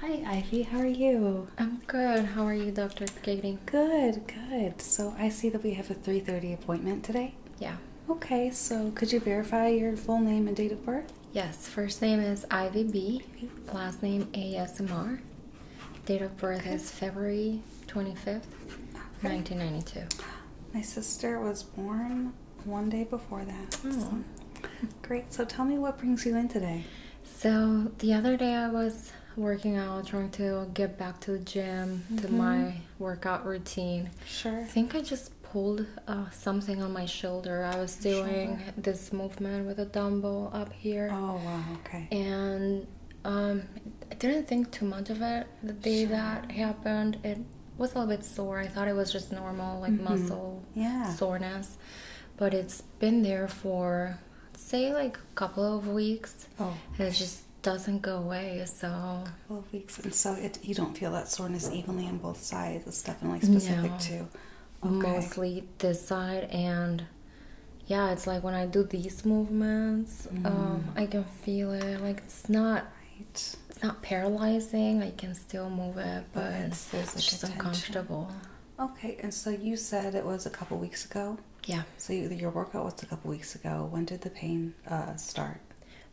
Hi, Ivy. How are you? I'm good. How are you, Dr. Katie? Good, good. So I see that we have a 3.30 appointment today. Yeah. Okay, so could you verify your full name and date of birth? Yes, first name is Ivy B, last name ASMR. Date of birth is February 25th, 1992. My sister was born one day before that. Oh. Great. So tell me what brings you in today. So the other day I was working out, trying to get back to the gym, to mm-hmm. my workout routine. Sure. I think I just pulled uh, something on my shoulder. I was doing this movement with a dumbbell up here. Oh, wow. Okay. And um, I didn't think too much of it the day that happened. It was a little bit sore. I thought it was just normal, like mm-hmm. muscle yeah. soreness, but it's been there for say like a couple of weeks. Oh. it just doesn't go away. So a couple of weeks, and so you don't feel that soreness evenly on both sides. It's definitely specific no. to mostly this side and yeah it's like when i do these movements mm-hmm. um, i can feel it like it's not it's not paralyzing i can still move it but it's, just uncomfortable okay and so you said it was a couple weeks ago yeah so your workout was a couple weeks ago when did the pain uh, start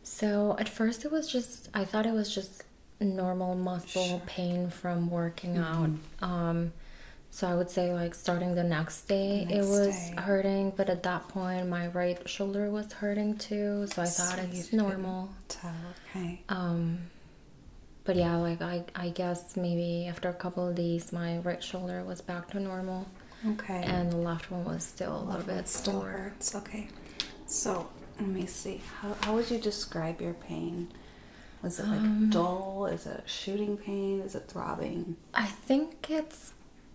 so at first it was just i thought it was just normal muscle pain from working mm-hmm. out um, so I would say like starting the next day it was hurting, but at that point my right shoulder was hurting too. So I so thought it's normal. Okay. Um but yeah, like I I guess maybe after a couple of days my right shoulder was back to normal. Okay. And the left one was still a little bit still sore. hurts. Okay. So let me see. How how would you describe your pain? Was it like um, dull? Is it shooting pain? Is it throbbing? I think it's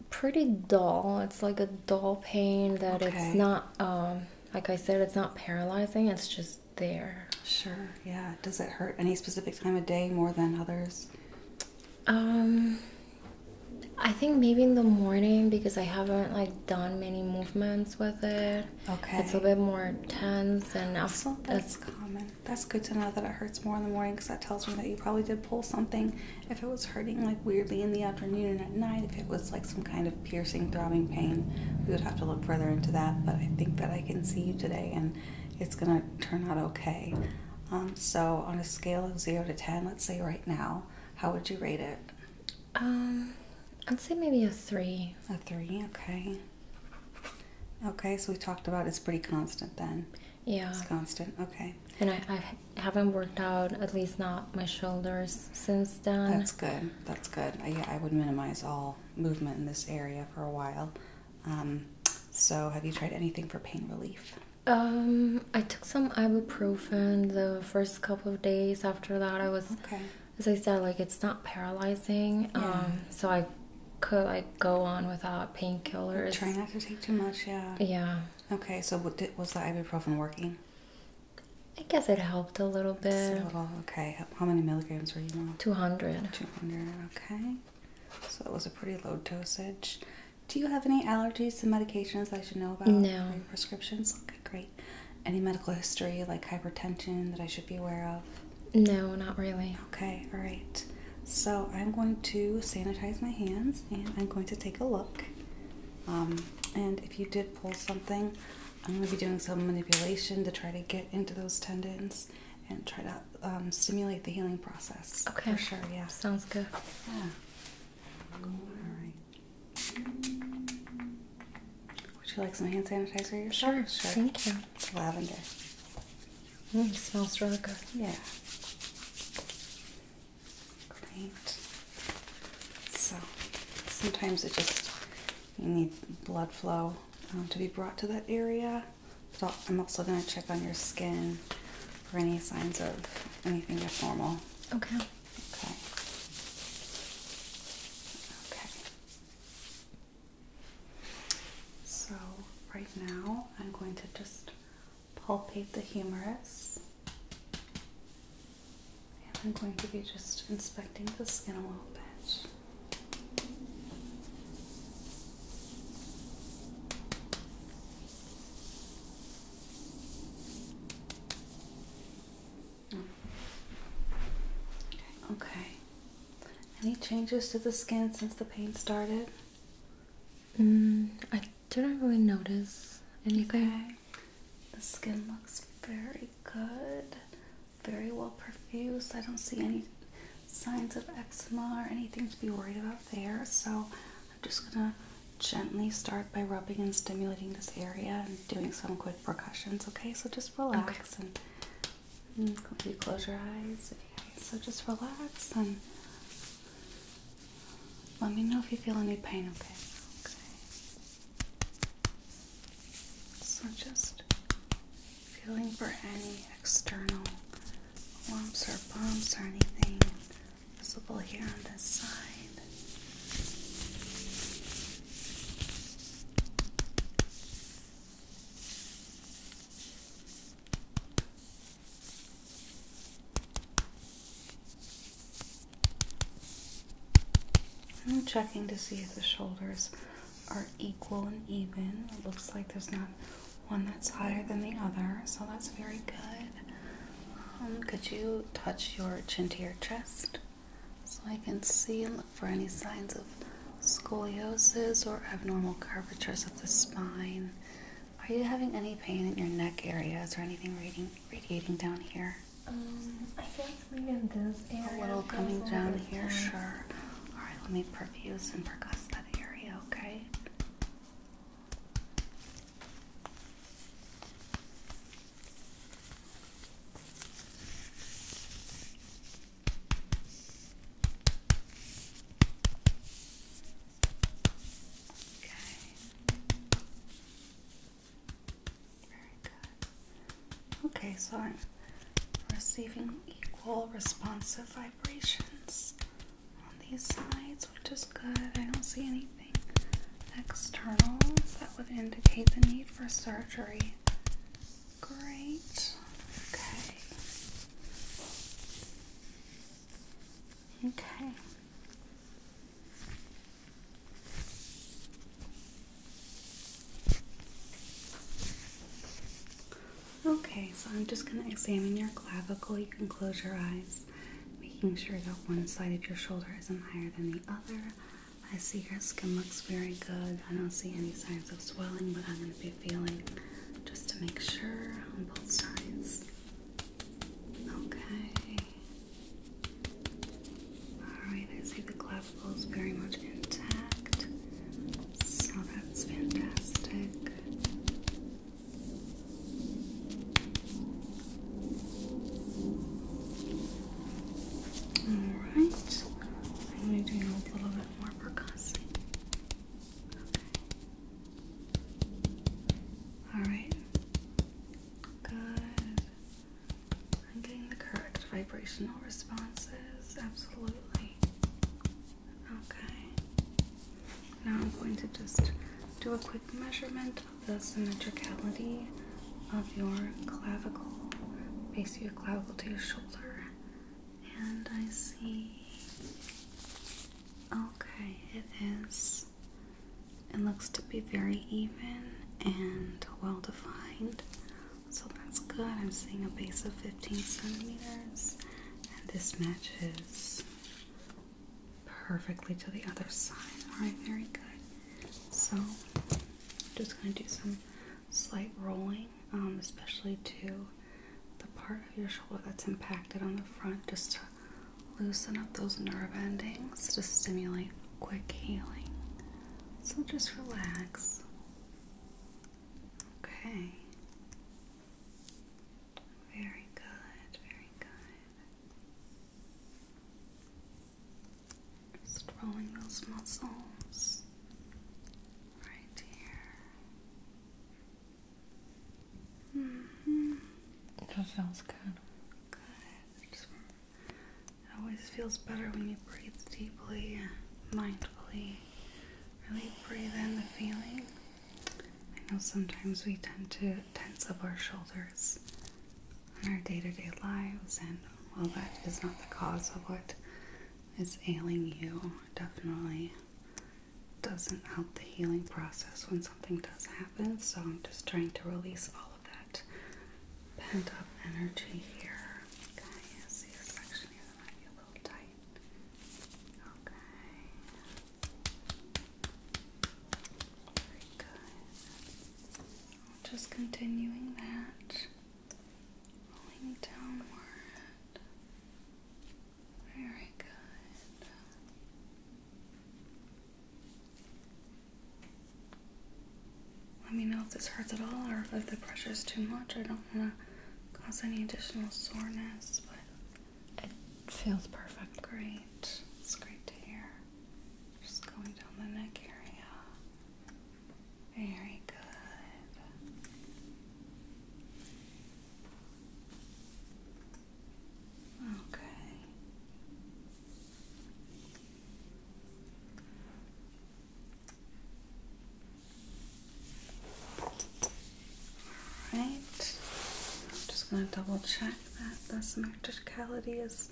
pretty dull. It's like a dull pain that it's not, um, like I said, it's not paralyzing, it's just there. Sure, yeah. Does it hurt any specific time of day more than others? Um, I think maybe in the morning because I haven't like done many movements with it. Okay. It's a bit more tense and also, that's common. That's good to know that it hurts more in the morning because that tells me that you probably did pull something. If it was hurting like weirdly in the afternoon and at night, if it was like some kind of piercing, throbbing pain, we would have to look further into that. But I think that I can see you today and it's going to turn out okay. Um, so, on a scale of 0 to 10, let's say right now, how would you rate it? Um, I'd say maybe a 3. A 3, okay. Okay, so we talked about it's pretty constant then. Yeah. It's constant, okay. And I, I haven't worked out, at least not my shoulders, since then. That's good, that's good. I, yeah, I would minimize all movement in this area for a while. Um, so, have you tried anything for pain relief? Um, I took some ibuprofen the first couple of days. After that, I was, okay. as I said, like it's not paralyzing. Yeah. Um, so I could like go on without painkillers. Try not to take too much. Yeah. Yeah. Okay. So what was the ibuprofen working? I guess it helped a little bit. Okay. How many milligrams were you on? Two hundred. Two hundred. Okay. So it was a pretty low dosage. Do you have any allergies to medications I should know about? No. prescriptions? Okay, great. Any medical history like hypertension that I should be aware of? No, not really. Okay, all right. So I'm going to sanitize my hands and I'm going to take a look. Um, and if you did pull something, I'm going to be doing some manipulation to try to get into those tendons and try to um, stimulate the healing process. Okay. For sure, yeah. Sounds good. Yeah. All right. Would you like some hand sanitizer yourself? Sure, sure. Thank you. It's lavender. Mm, smells really good. Yeah. Great. So sometimes it just you need blood flow um, to be brought to that area. But I'm also going to check on your skin for any signs of anything abnormal. Okay. Okay. Okay. So, right now, I'm going to just palpate the humerus. And I'm going to be just inspecting the skin a little bit. Okay. Any changes to the skin since the pain started? Mm, I didn't really notice anything. The skin looks very good, very well perfused. I don't see any signs of eczema or anything to be worried about there. So I'm just gonna gently start by rubbing and stimulating this area and doing some quick percussions. Okay, so just relax and you mm, close your eyes. So just relax and let me know if you feel any pain, okay? Okay. So just feeling for any external lumps or bumps or anything visible here on this side. I'm checking to see if the shoulders are equal and even. It looks like there's not one that's higher than the other, so that's very good. Um, could you touch your chin to your chest so I can see and look for any signs of scoliosis or abnormal curvatures of the spine? Are you having any pain in your neck areas or anything radiating, down here? Um, I think maybe in this area. A little coming down here, sure. All right, let me perfuse and percuss that area, okay? Very good. Okay, so I'm receiving equal responsive vibrations on these sides, which is good. I don't see anything external that would indicate the need for surgery. Great. Okay. Okay. Okay, so I'm just going to examine your clavicle. You can close your eyes, making sure that one side of your shoulder isn't higher than the other. I see your skin looks very good. I don't see any signs of swelling, but I'm going to be feeling just to make sure on both sides. Okay. Alright, I see the clavicle is very much intact. So that's fantastic. Alright, I'm going to do a little bit more percussing. Alright. Good. I'm getting the correct vibrational responses. Absolutely. Okay. Now I'm going to just do a quick measurement of the symmetricality of your clavicle, base of your clavicle to your shoulder and I see. Okay, it is. It looks to be very even and well defined, so that's good. I'm seeing a base of 15 centimeters, and this matches perfectly to the other side. All right, very good. So, I'm just going to do some slight rolling, um, especially to the part of your shoulder that's impacted on the front, just to loosen up those nerve endings to stimulate quick healing. So just relax. Okay. Very good, very good. rolling those muscles right here. Mm-hmm. That feels good. it always feels better when you breathe deeply, mindfully. Really breathe in the feeling. I know sometimes we tend to tense up our shoulders in our day to day lives, and while that is not the cause of what is ailing you, definitely doesn't help the healing process when something does happen. So I'm just trying to release all of that pent up energy here. Okay, see this section here that might tight. Okay. Very good. Just continuing that rolling downward. Very good. Let me know if this hurts at all or if the pressure is too much. I don't want to cause any additional soreness, but it feels perfect. Great. It's great to hear. Just going down the neck area. Very good. Okay. All right. I'm just going to double check that the symmetricality is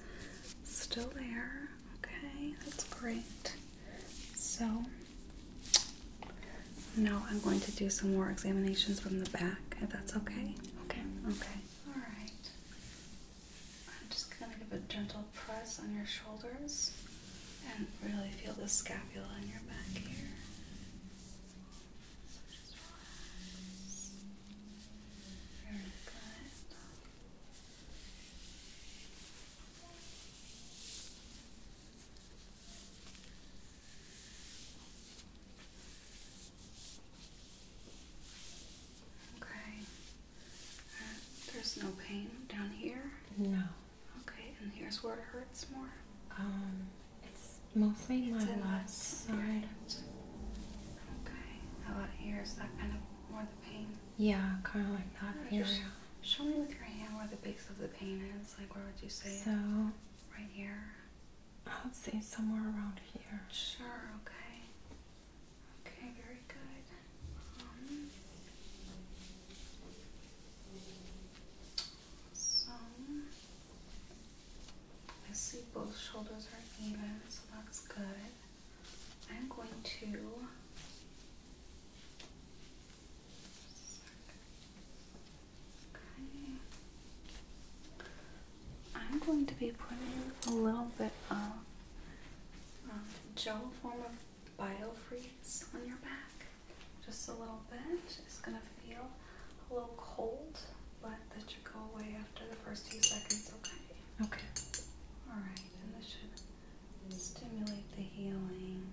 still there. Okay, that's great. So now I'm going to do some more examinations from the back, if that's okay. Okay. Okay. All right. I'm just going to give a gentle press on your shoulders and really feel the scapula in your back here. Okay. Uh, there's no pain down here? No. Okay, and here's where it hurts more? Um, it's mostly my left side. Okay. How about here? Is that kind of more the pain? Yeah, kind of like that. Right, uh, show me with your hand where the base of the pain is. Like, where would you say so, Right here? I would say somewhere around here. Sure, okay. Okay, very good. Um, so, I see both shoulders are even, so that's good. I'm going to I'm going to be putting a little bit of um, gel form of biofreeze on your back. Just a little bit. It's going to feel a little cold, but that should go away after the first few seconds, okay? Okay. Alright, and this should stimulate the healing.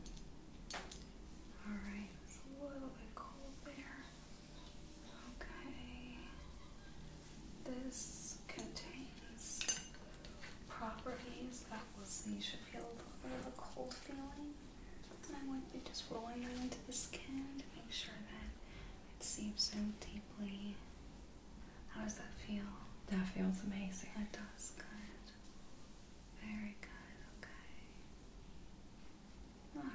All right, it's a little bit cold there. Okay, this contains properties that will see you should feel a little bit of a cold feeling. And I'm going to be just rolling that into the skin to make sure that it seeps in deeply. How does that feel? That feels amazing. That does, good. Very good, okay. Okay.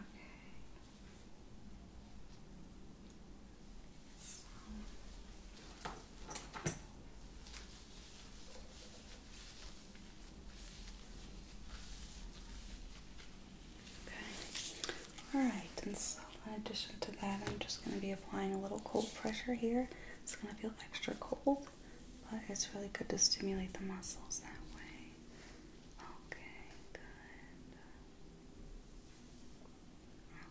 Alright, and so in addition to that, I'm just going to be applying a little cold pressure here. It's going to feel extra cold but it's really good to stimulate the muscles that way. Okay, good.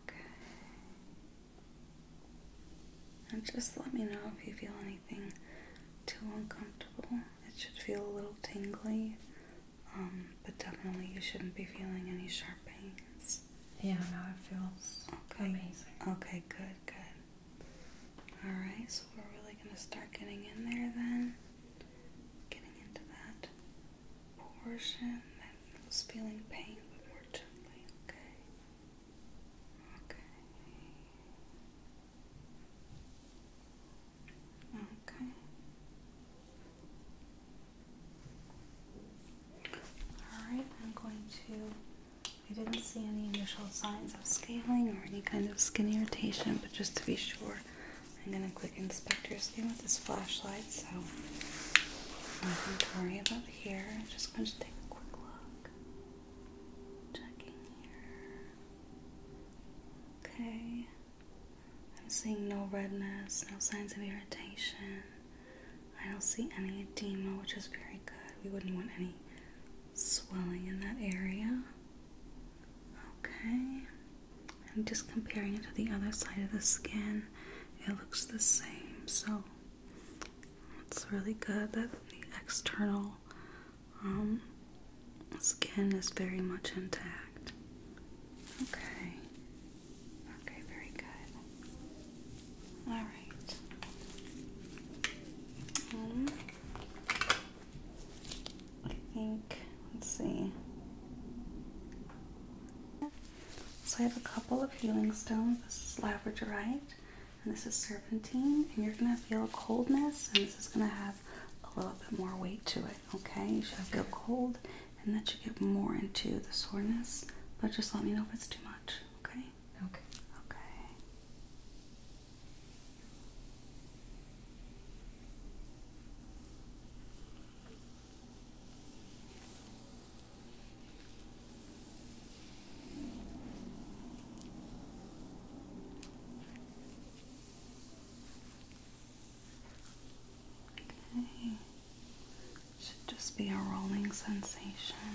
Okay. And just let me know if you feel anything too uncomfortable. It should feel a little tingly, um, but definitely you shouldn't be feeling any sharp pains. Yeah, now it feels okay. amazing. Okay, good, good. Alright, so we're really going to start getting in there then. Getting into that portion that was feeling pain, but more gently, okay? Okay. Okay. Alright, I'm going to we didn't see any initial signs of scaling or any kind of skin irritation, but just to be sure, I'm going to quick inspect your skin with this flashlight. So, nothing to worry about here. just going to take a quick look. Checking here. Okay. I'm seeing no redness, no signs of irritation. I don't see any edema, which is very good. We wouldn't want any swelling in that area. Okay, I'm just comparing it to the other side of the skin. It looks the same, so it's really good that the external um, skin is very much intact. Okay, okay, very good. All right. Um, I think, let's see. So I have a couple of healing stones. This is labradorite and this is serpentine. And you're going to feel coldness and this is going to have a little bit more weight to it. Okay, you should feel cold and that should get more into the soreness. But just let me know if it's too much. Okay. Okay. Okay. Okay. Should just be a rolling sensation.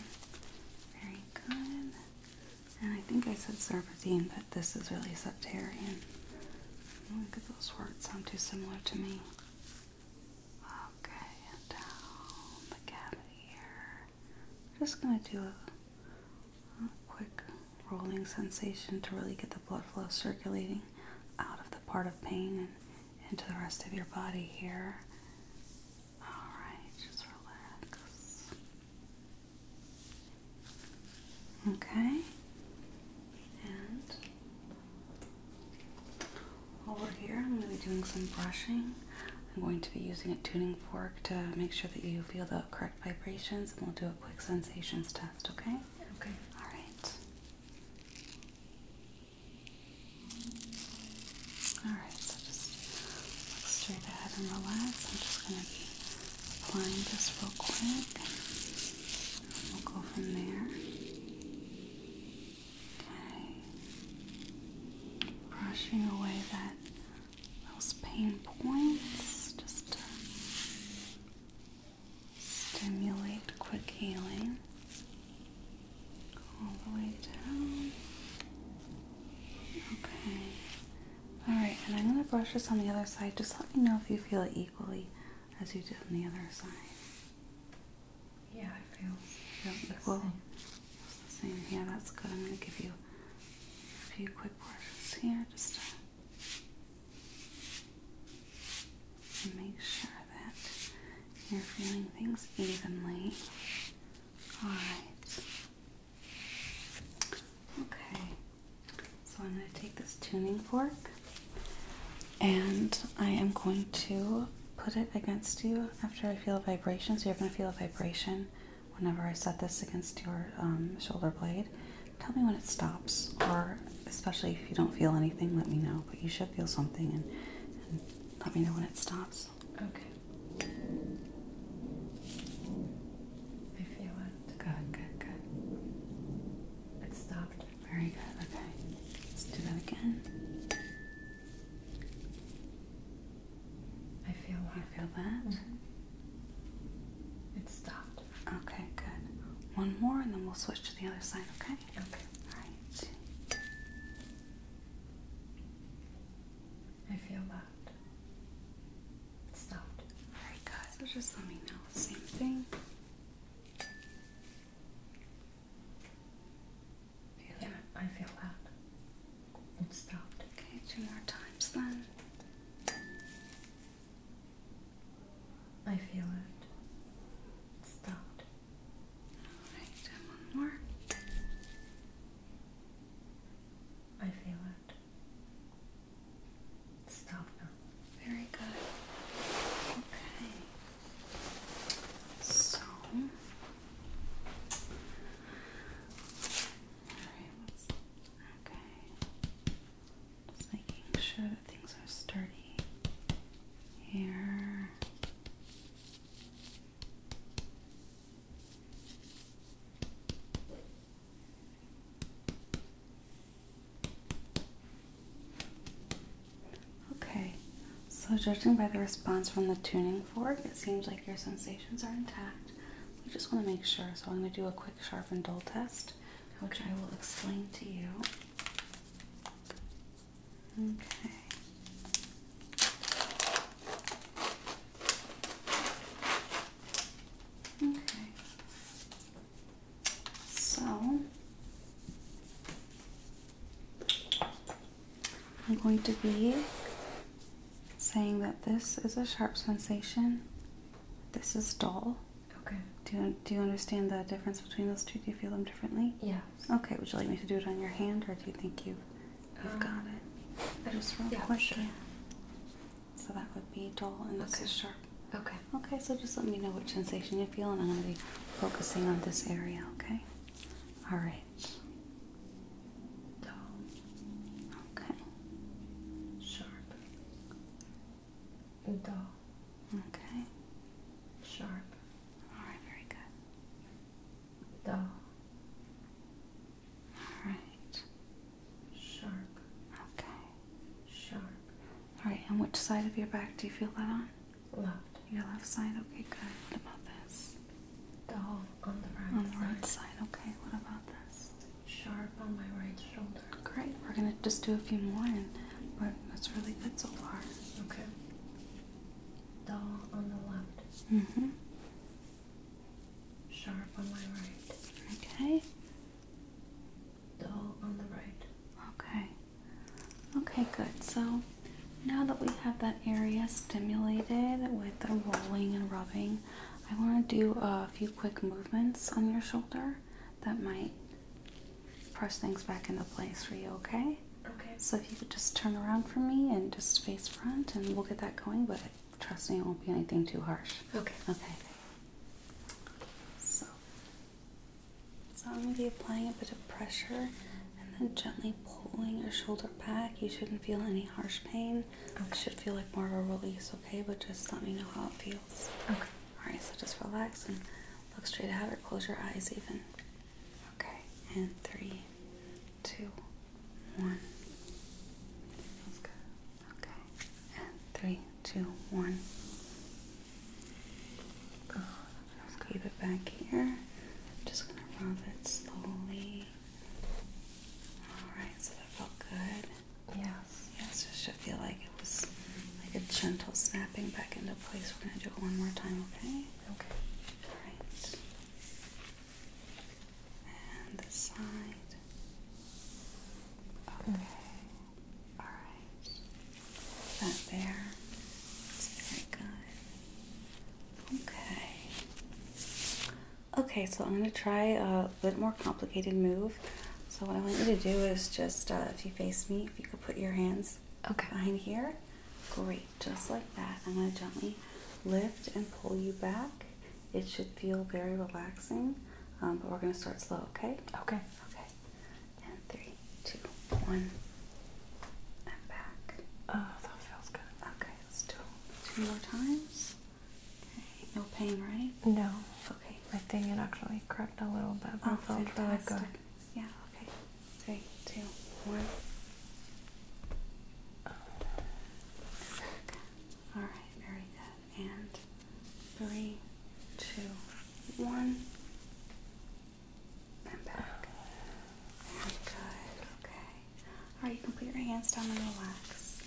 Very good. And I think I said serpentine, but this is really septarian. Oh, look at those words, sound too similar to me. Okay, down the cavity here. I'm just going to do a quick rolling sensation to really get the blood flow circulating out of the part of pain and into the rest of your body here. Alright, just relax. Okay, and while here, I'm going to be doing some brushing. I'm going to be using a tuning fork to make sure that you feel the correct vibrations, and we'll do a quick sensations test, okay? Okay. Alright. Alright, so just look straight ahead and relax. I'm just going to be applying this real quick. we'll go from there. Okay. Brushing away that those pain points just to stimulate quick healing all the way down. Okay. Alright, and I'm going to brush this on the other side. Just let me know if you feel it equally as you did on the other side. Yeah, I feel, equal. same. Yeah, that's good. I'm going to give you a few quick words here just to make sure that you're feeling things evenly. Alright. Okay, so I'm going to take this tuning fork and I am going to put it against you after I feel a vibration. So you're going to feel a vibration whenever I set this against your um, shoulder blade. Tell me when it stops, or especially if you don't feel anything, let me know. But you should feel something and let me know when it stops. Okay. I feel it. Good, good, good. It stopped. Very good. Okay. Let's do that again. I feel that. You feel that? Mm-hmm. It stopped. Okay, good. One more and then we'll switch to the other side, okay? Okay. All right. I feel that. It stopped. Alright guys, so just let me know. Same thing. yeah, I feel that. It stopped. Okay, two more times then. I feel it. stopped. Alright, one more. I feel it. Stop now. Very good. Okay. So, all okay. Just making sure that things are sturdy here. Okay, so judging by the response from the tuning fork, it seems like your sensations are intact. We just want to make sure, so I'm going to do a quick sharp and dull test, which I will explain to you. Okay. Okay. So I'm going to be saying that this is a sharp sensation. This is dull. Okay. Do you, do you understand the difference between those two? Do you feel them differently? Yes. Okay. Would you like me to do it on your hand, or do you think you You've um, got it. I just real yeah, quick So that would be dull and this okay. is sharp. Okay. Okay, so just let me know what sensation you feel and I'm gonna be focusing on this area, okay? Alright. Dull. Okay. Sharp. Dull. Okay. Sharp. Alright, very good dull, all right, sharp, okay, sharp. All right, On which side of your back do you feel that on? Left. Your left side. Okay, good. What about this? Dull on the right. On the side. right side. Okay. What about this? Sharp on my right shoulder. Great. We're gonna just do a few more, but that's really good so far. Okay. Dull on the left. Mm-hmm. Sharp on my right. Okay. Dull on the right. Okay. Okay, good. So now that we have that area stimulated with the rolling and rubbing, I want to do a few quick movements on your shoulder that might press things back into place for you, okay? Okay. So if you could just turn around for me and just face front, and we'll get that going. But trust me, it won't be anything too harsh. Okay. Okay. So, so I'm gonna be applying a bit of pressure, and then gently pulling your shoulder back. You shouldn't feel any harsh pain. It should feel like more of a release. Okay, but just let me know how it feels. Okay. All right. So just relax and look straight ahead, or close your eyes even. Okay. And three, two one. Feels good. Okay. three, two, one. Good. keep it back here. I'm just gonna rub it slowly. Alright, so that felt good. Yes. Yes, it should feel like it was like a gentle snapping back into place. We're gonna do it one more time, okay? Okay. Alright and the side. Mm. Okay, all right. That there, it's very good. Okay. Okay, so I'm gonna try a bit more complicated move. So what I want you to do is just, uh, if you face me, if you could put your hands okay. behind here, Great, just like that. I'm going to gently lift and pull you back. It should feel very relaxing, um, but we're going to start slow, okay? Okay. Okay. And three, two, one, and back. Oh, that feels good. Okay, let's do two more times. Okay, no pain, right? No. Okay. I think it actually cracked a little bit, but oh, it felt really good. Yeah, okay. Three, two, one. All right, very good. And three, two, one, and back. good. Okay. All right, you can put your hands down and relax.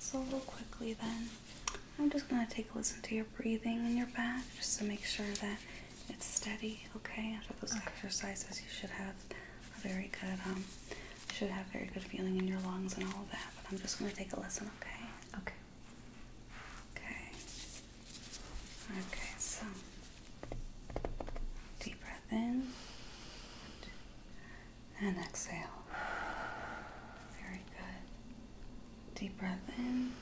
So real quickly then, I'm just gonna take a listen to your breathing in your back, just to make sure that it's steady. Okay. After those exercises, you should have very good, um, should have very good feeling in your lungs and all of that. But I'm just going to take a listen, okay? Okay. Okay. Okay, so deep breath in and exhale. Very good. Deep breath in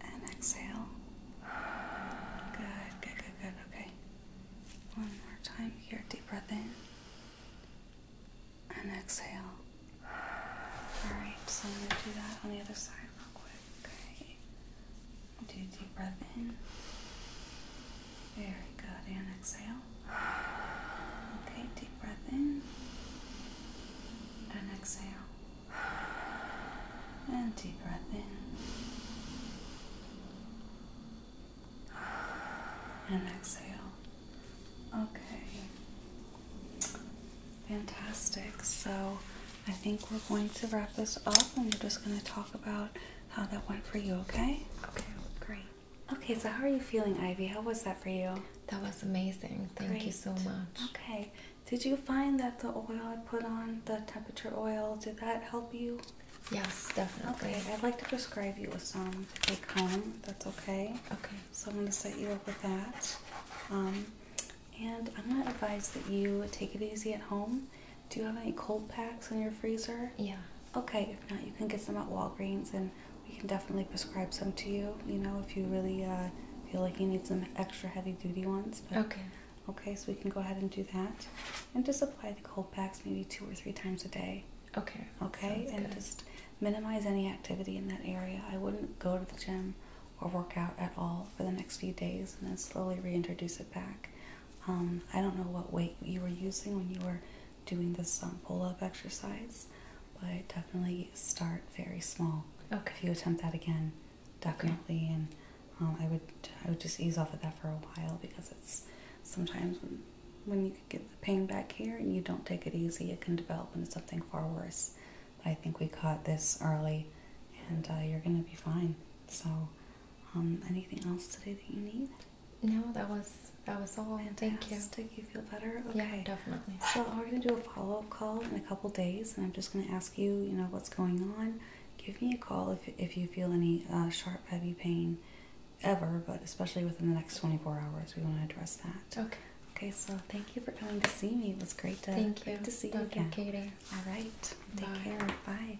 and exhale. Good, good, good, good. Okay. One more time here. Deep breath in and exhale. Alright, so I'm going to do that on the other side real quick. Okay. Do a deep breath in. Very good. And exhale. Okay, deep breath in and exhale. And deep breath in. And exhale. Okay. Fantastic. So I think we're going to wrap this up and we're just going to talk about how that went for you, okay? Okay, great. Okay, so how are you feeling, Ivy? How was that for you? That was amazing. Thank you so much. Okay. Did you find that the oil I put on, the temperature oil, did that help you? Yes, definitely. Okay, I'd like to prescribe you with some take home. That's okay. Okay. So I'm going to set you up with that. Um, and I'm going to advise that you take it easy at home. Do you have any cold packs in your freezer? Yeah. Okay, if not, you can get some at Walgreens and we can definitely prescribe some to you, you know, if you really uh, feel like you need some extra heavy duty ones. okay. Okay, so we can go ahead and do that. And just apply the cold packs maybe two or three times a day. Okay. Okay, and good. just minimize any activity in that area. I wouldn't go to the gym or work out at all for the next few days and then slowly reintroduce it back. Um, I don't know what weight you were using when you were doing this pull up exercise, but definitely start very small. Okay. If you attempt that again, definitely. And um, I would I would just ease off of that for a while because it's sometimes when, when you could get the pain back here and you don't take it easy, it can develop into something far worse. But I think we caught this early, and uh, you're gonna be fine. So, um, anything else today that you need? No, that was that was all. Fantastic. Thank you. You feel better? Yeah, definitely. So we're gonna do a follow up call in a couple days, and I'm just gonna ask you, you know, what's going on, give me a call if, if you feel any uh, sharp, heavy pain ever, but especially within the next 24 hours. We want to address that. Okay. Okay, so thank you for coming to see me. It was great to, thank you. to see you again. Katie. All right. Take care. Bye.